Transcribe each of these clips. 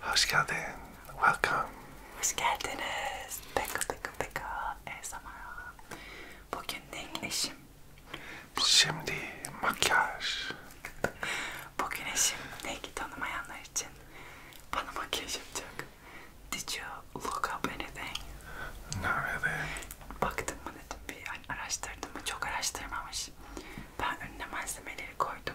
Hoş geldin. Welcome. Hoş geldiniz. Peka peka peka. ASMR. Bugün ilk eşim. Bugün... Şimdi makyaj. Bugün eşim Nick'i tanımayanlar için bana makyaj yapacak. Did you look up anything? No really. Baktım mı dedim bir araştırdım mı çok araştırmamış. Ben önüne malzemeleri koydum.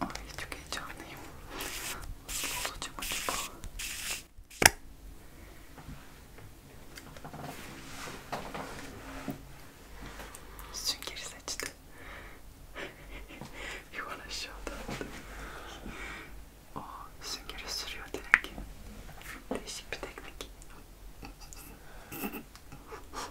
Ay çok heyecanlıyım. Nasıl olacağım acaba? Süngeri seçtim. Yuvan aşağıda. O süngeri sürüyor direkt. Değişik bir teknik.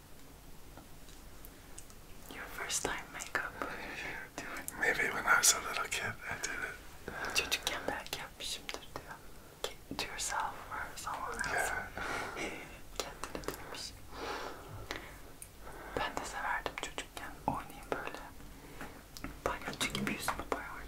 Your first time makeup. Maybe when I was a little kid, I did it. Çocukkenbelki yapmışımdır diyor. To yourself or someone else. Yeah. Kendine demiş. Ben de severdim çocukken. Oynayayım böyle. Balyozcu gibi yüzümü boyardım.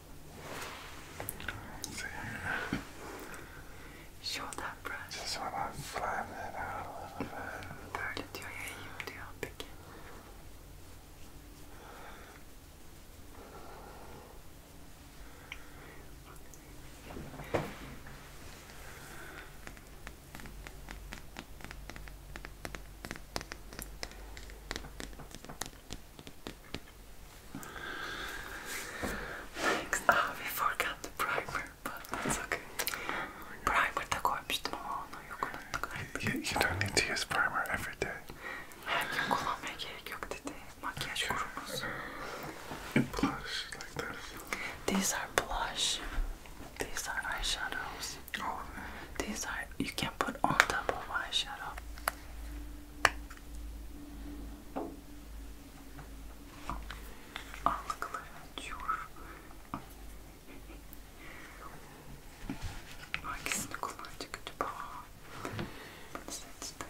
let that brush. Just want to flatten it out a little bit. Böyle diyor ya iyi diyor peki. Ah, we forgot the primer, but it's okay. Primer такой обычно yok unuttuk. You, don't need to use primer every day. Her gün kullanmaya gerek yok dedi. Makyaj kurumuz. And blush like this. These are blush. These are eyeshadows. Oh. These are you can put on top of eyeshadow. Al klaratür. Hangisini kullanacak acaba? Bunu seçtim.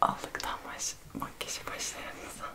Allıktan baş, makyaja başlayan insan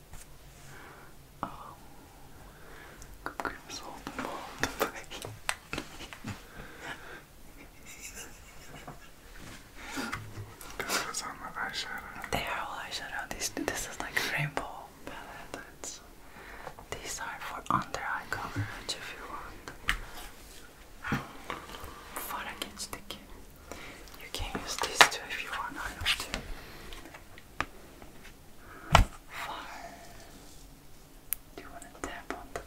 They are all eyeshadow. This, this is like rainbow palette. these are for under eye coverage if you want. Before I get sticky, you can use these two if you want. I know too far. Do you want to tap on the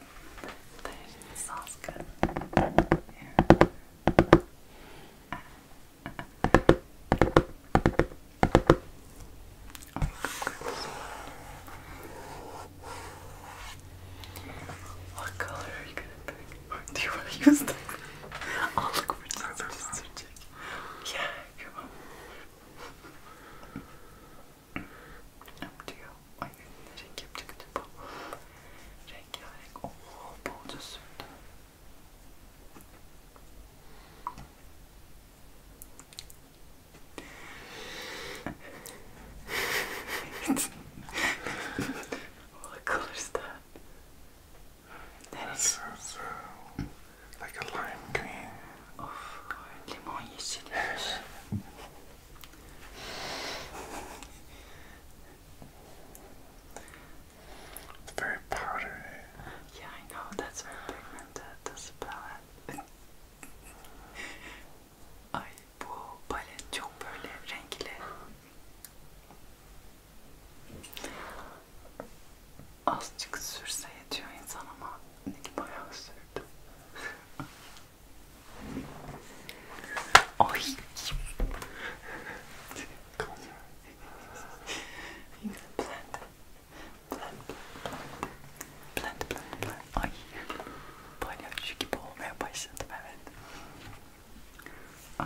thing? sounds good. What color are you gonna pick? Do you want to use them? i look for just, just to check. Yeah, Come 엄지요. 아이는 제 깊직깊어. 제 기안에 오 보여줬습니다. what color is that? That is so so, like a lime green. Of limon yeşilmiş. It's very powdery. Yeah, I know, that's very pigmented, the palette. Ay bu palet çok böyle renkli. azıcık sürse yetiyor insan ama Nick bayağı sürdü. Ay. Blend. Blend. Blend. Blend. Blend. Ay. Palyaço gibi olmaya başladım evet. Ah.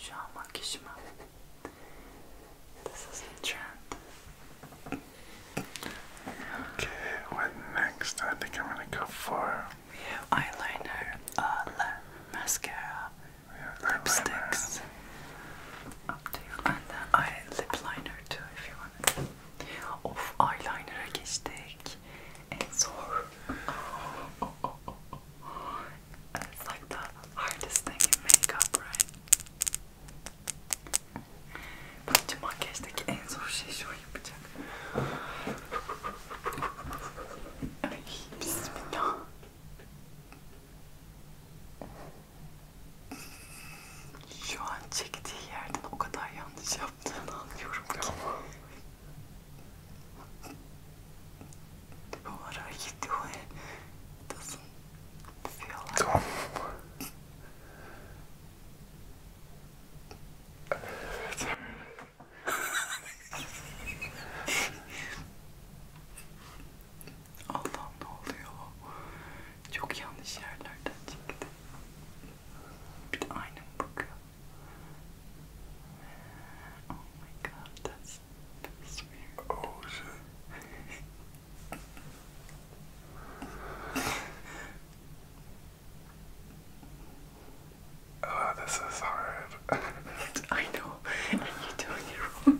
Shamakishma. This is the trend. Okay, what next? I think I'm gonna go for. We have eyeliner, uh, mascara, lipsticks. Up to you. And then eye lip liner too if you want it. Of eyeliner'a geçtik. En zor. Oh, oh, oh, It's like the hardest thing in makeup, right? Bence makyajdaki en zor şey şu yapacak. Ay, bismillah. Şu an çektiği yerden o kadar yanlış yaptığını anlıyorum ki. What are you doing? Doesn't feel like Tom. Allah'ım ne oluyor? Çok yanlış yerlerden çıktı. Bir de aynı bakıyor. Oh my god, that's Oh shit. Oh, this is hard. I know. And you doing it wrong,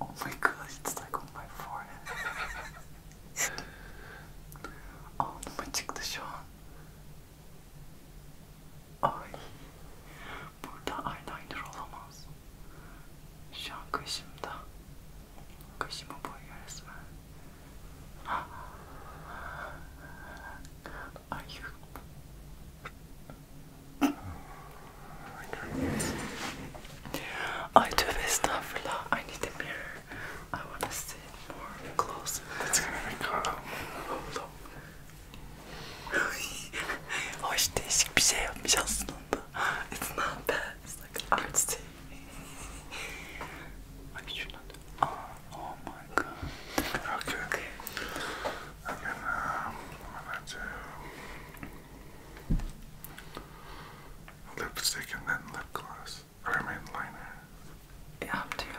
Oh my god, it's like on my forehead. Anlıma çıktı şu an. Ay. Burada eyeliner olamaz. Şu an kaşımda. Kaşımı boyuyor I do this stuff a lot. I need a mirror. I want to sit more close. That's gonna be cool. Hold on. Oh, I değişik bir şey yapmış aslında. It's not bad. It's like artsy. Ay şuna da. Oh, my god. Okay. okay. And then um, I'm gonna do lipstick and then lip gloss. Or I mean Yeah, I'm doing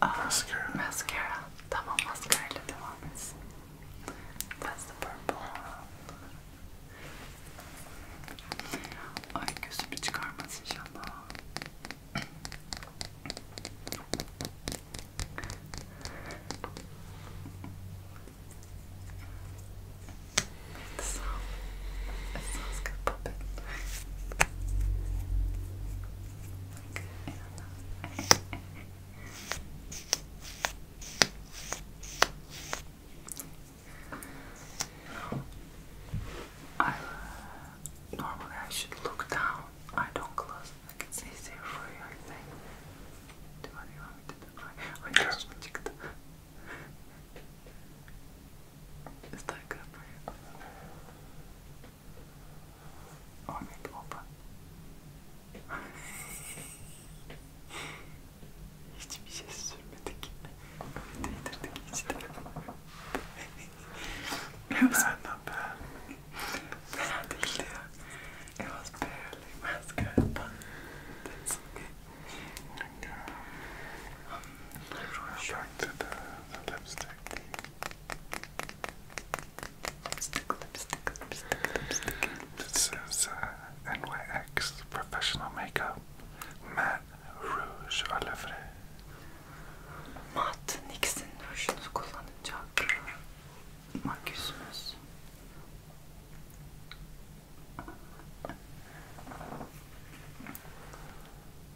Aa, ah, mascara. Mascara. Tamam maskarayla devam etsin. That's the purple. Ay gözümü çıkarmaz inşallah. It sounds, it sounds good, I, normally I should look down. I don't close. it's easier for you, Do you want me to do? I just check the. Is that good you? Oh, I made them open. Hiçbir şey sürmedik. Değdirdik was barely as but that's okay. I really sure. the, the lipstick. This is uh, NYX Professional Makeup Matte Rouge Olivre. Matte Nix'in rujunu kullanacak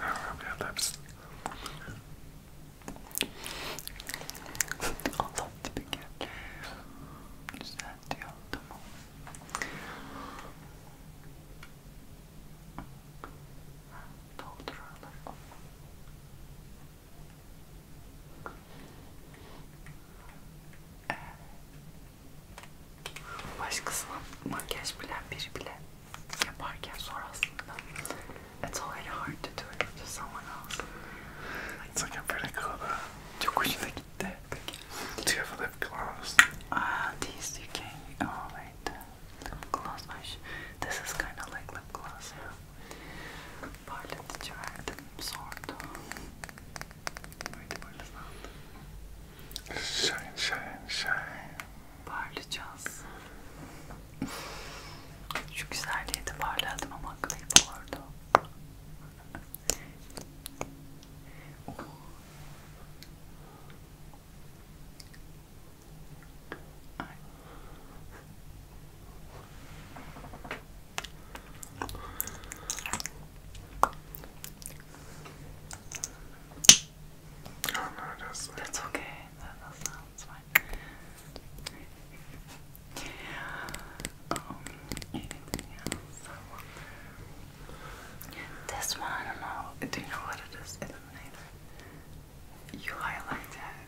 I rub your lips. Allah dibine gel. It's already hard to do to someone else. It's like a pretty cool though. Çok hoşuna gitti. Peki. lip Ah, these you Oh wait, lip gloss. This is kind of like lip gloss, Parlatıcı verdim, sordu. Böyle böyle sandım. Shine, shine, shine. Parlayacağız. Şu güzelliğe de parladım ama aklayıp olurdu. Ay. Oh no, that's That's okay. That, sounds fine. Um, anything else? This one, I know. Do you know what You highlight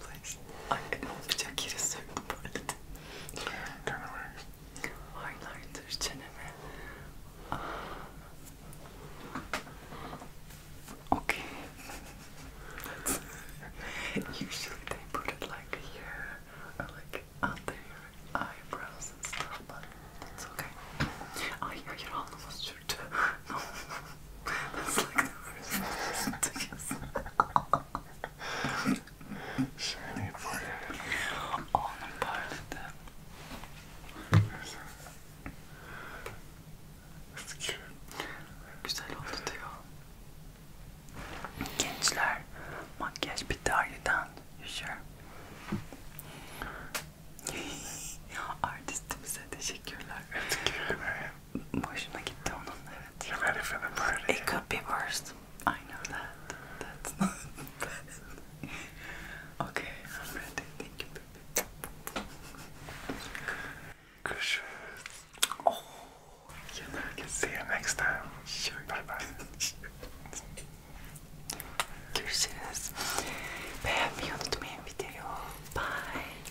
place. Ay olacak yere söktüm böyle de. Highlighter çeneme. Okay. That's usually they put it like here or like under your eyebrows and stuff, but that's okay. Ay hayır alnıma sürdü. That's like the worst person to Shiny for you. All in part of them. That's cute. Güzel oldu diyor. Gençler, makyaj bitti ayrıdan. Sure. Artistimize teşekkürler. Teşekkürler hoşuna gitti onun evet. You're ready for the party. It could be worse. I know that. That's not bad. okay, I'm ready. Thank you, baby. Görüşürüz. Oh, See you next time. Sure. Bye bye. Görüşürüz. Beğenmeyi unutmayın videoyu. Bye.